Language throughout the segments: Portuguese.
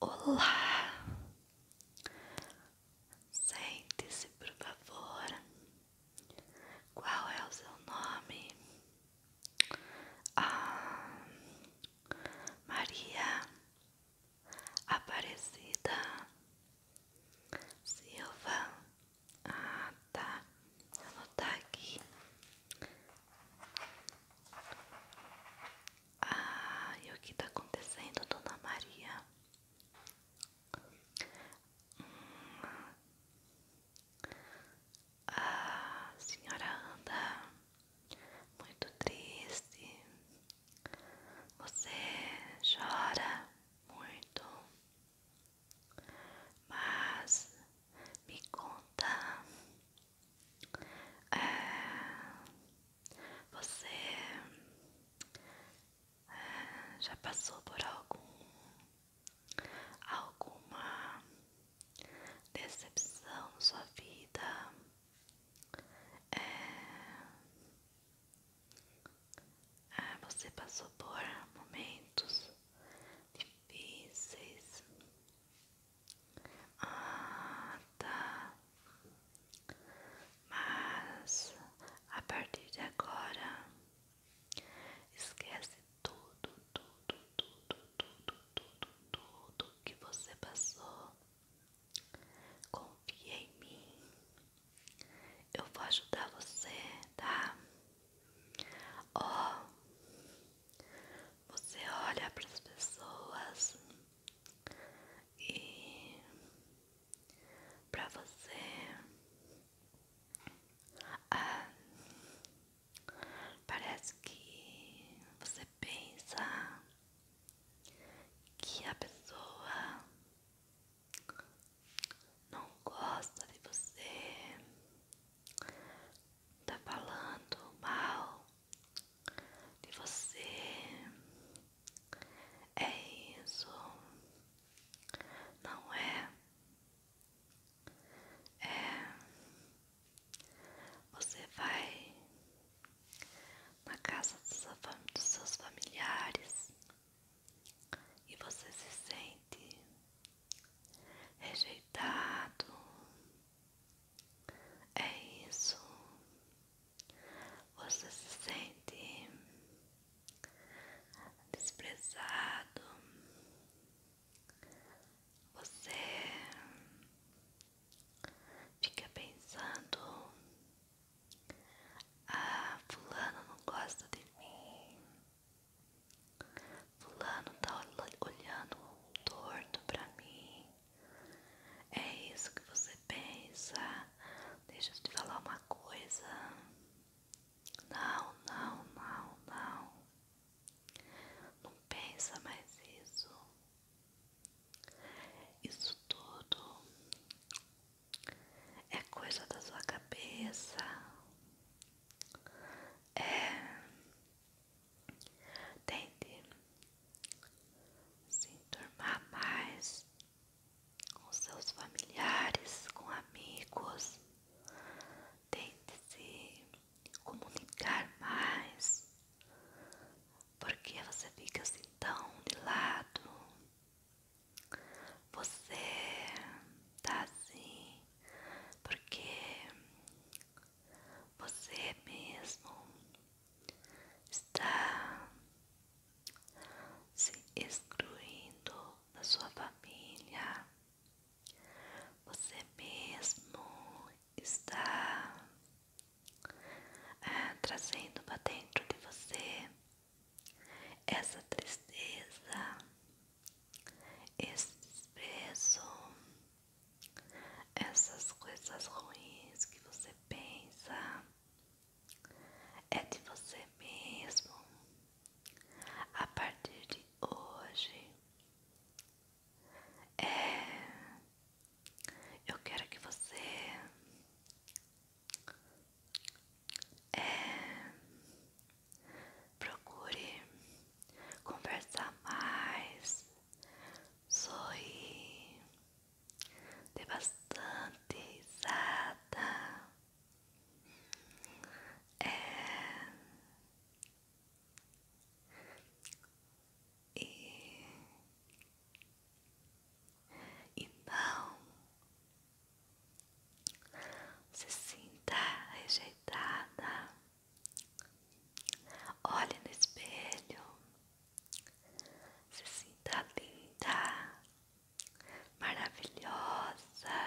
Olá, sente-se por favor. Qual é o seu nome? Ah, Maria Aparecida Silva. Ah, tá. Ela não aqui. Ah, e o que está acontecendo, Dona Maria? Hum. Ah, senhora anda muito triste. Você chora muito. Mas me conta é, você é, já passou por algum alguma decepção na sua vida? É, é você passou por momentos difíceis. Ah, tá. Mas a partir de agora, esquece tudo, tudo, tudo, tudo, tudo, tudo que você passou. confie em mim. Eu vou ajudar você, tá? Ó, oh, você olha para as pessoas e para você ah, parece que você pensa que a pessoa não gosta de você, tá falando mal de você. É isso, não é? É. Você vai na casa dos seus familiares e você se sente rejeitado, é isso. Você se sente desprezado. Você fica pensando: Ah, Fulano não gosta de mim. Fulano tá olhando torto pra mim. É isso que você pensa. Deixa eu te falar uma coisa. Não, não, não, não. Não pensa mais isso. Isso tudo é coisa da sua cabeça. É Tente se enturmar mais com seus familiares, com amigos. Tente se comunicar mais. Porque você fica assim tão de lado. Você tá assim porque você mesmo está se excluindo da sua família, você mesmo está é, trazendo para dentro de você essa tristeza, esse desprezo, essas coisas ruins que você pensa é de você mesmo. A partir de hoje, é, eu quero que você é, procure conversar mais, sorrir, dê bastante risada. É... E... e não se sinta rejeitada. Olhe no espelho. Se sinta linda, maravilhosa.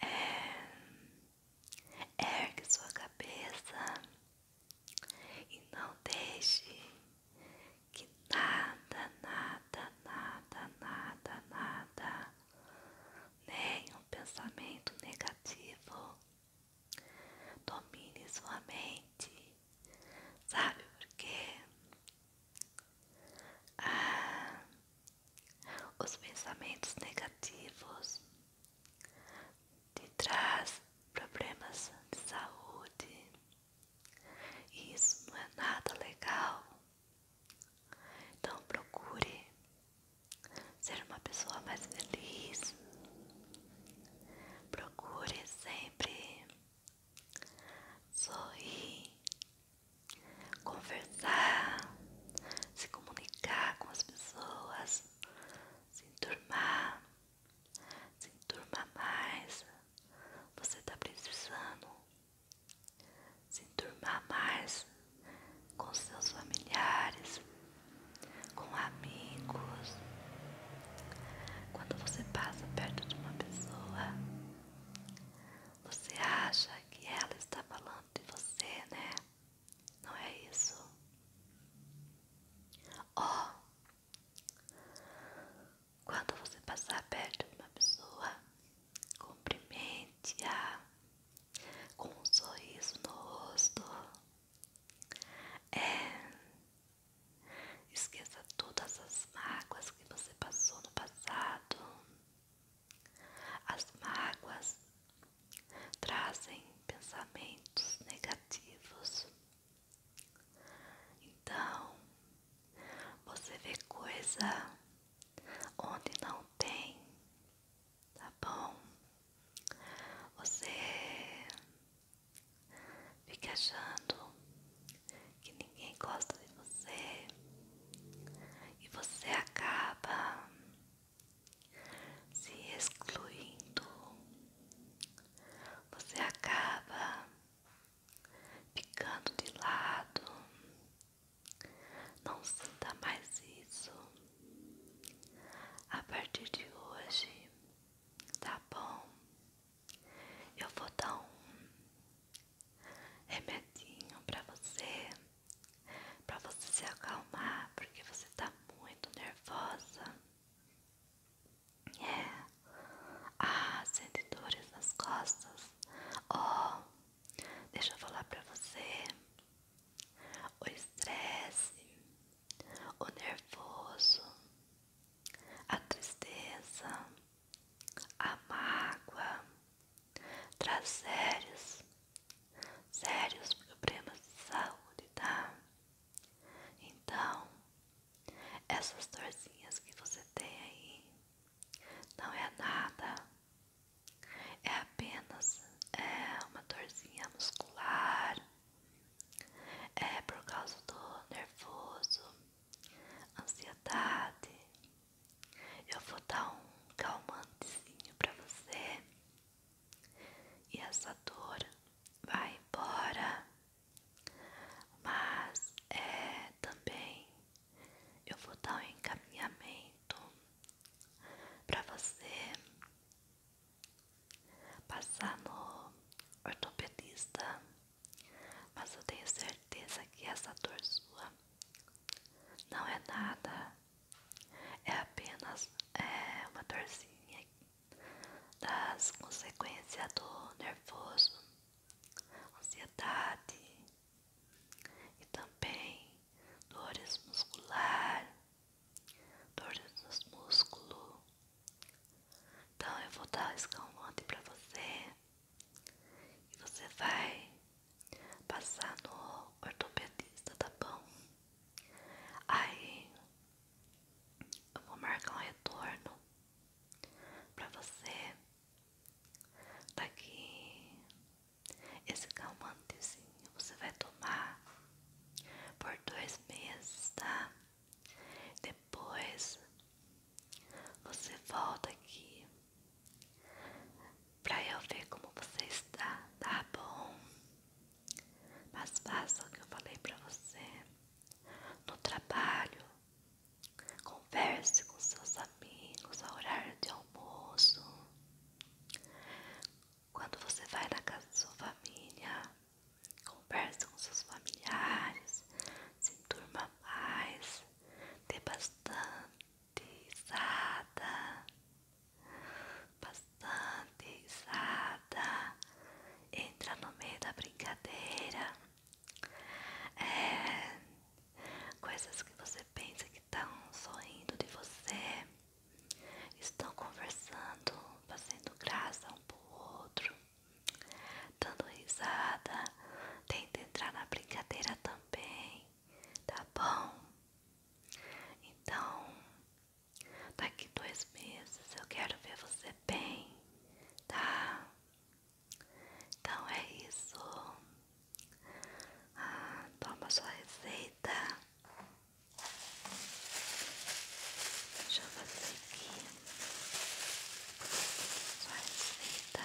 É, ergue sua cabeça e não deixe que nada, nada, nada, nada, nada nenhum pensamento negativo. Domine sua mente. Sabe por quê? Ah, os pensamentos negativos te traz problemas de saúde. E isso não é nada legal. Então procure ser uma pessoa mais feliz. Procure sempre sorrir, conversar, se comunicar com as pessoas, se enturmar, se enturmar mais. Você está precisando se enturmar mais com seus familiares, com amigos. Quando você passa perto de uma pessoa, você acha que ela está falando de você, né? Não é isso? Ó, quando você passar perto de uma pessoa, cumprimente-a com um sorriso no rosto. É. Esqueça todas as mágoas que você passou no passado. As mágoas trazem pensamentos negativos. Então, você vê coisa onde não tem tá bom? Você fica achando que ninguém gosta de você e você acaba se excluindo, você acaba ficando de lado. Não sinta mais isso. A partir de hoje, tá bom? Eu vou dar um remedinho pra você, pra você se acalmar, porque você tá muito nervosa. É. Ah, sente dores nas costas. Oh, Deixa eu falar pra você. O estresse, o nervoso, a tristeza, a mágoa traz sérios, sérios problemas de saúde, tá? Então, essas dorzinhas que você tem aí não é nada. É apenas é, uma dorzinha muscular, é por causa do nervoso, ansiedade. Eu vou dar um calmantezinho para você e essa dor vai embora, mas é também eu vou dar um encaminhamento para você passar no ortopedista, mas eu tenho certeza que essa dor sua não é nada, é apenas é, uma dorzinha das consequências do nervoso, ansiedade, e também dores muscular, dores nos músculos. Então eu vou dar escalante para você e você vai passar no ortopedista, tá bom? Aí eu vou marcar um retorno para você Daqui, tá esse calmantezinho você vai tomar por dois meses, tá? Depois você volta aqui pra eu ver como você está, tá bom? Mas faça o que eu falei pra você no trabalho. Converse com seus amigos ao horário de almoço. Quando você vai na casa de sua família, converse com seus familiares, se turma mais, dê bastante risada, bastante risada, entra no meio da brincadeira. É, coisas que você pensa que estão sorrindo de você, estão conversando, fazendo graça um pro outro, dando risada, tenta entrar na brincadeira também, tá bom? Então, daqui dois meses eu quero ver você bem, tá? Então é isso. Ah, toma sua receita. Deixa eu fazer aqui sua receita,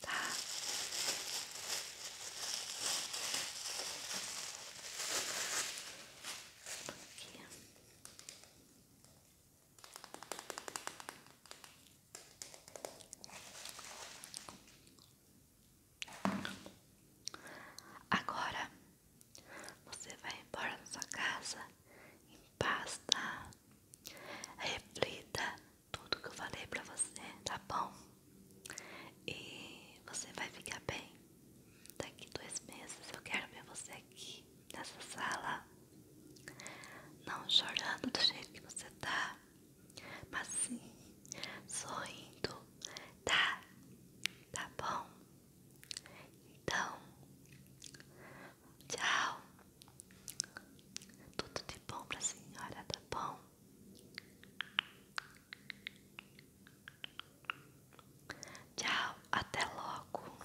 tá? Aqui. Agora você vai embora da sua casa em paz, tá? Reflita tudo que eu falei pra você, tá bom? E você vai ficar bem. Daqui dois meses eu quero ver você aqui nessa sala. Não chorando do jeito que você tá, mas sim sorrindo, tá? Tá bom? Então, tchau. Tudo de bom pra senhora, tá bom? Tchau, até logo.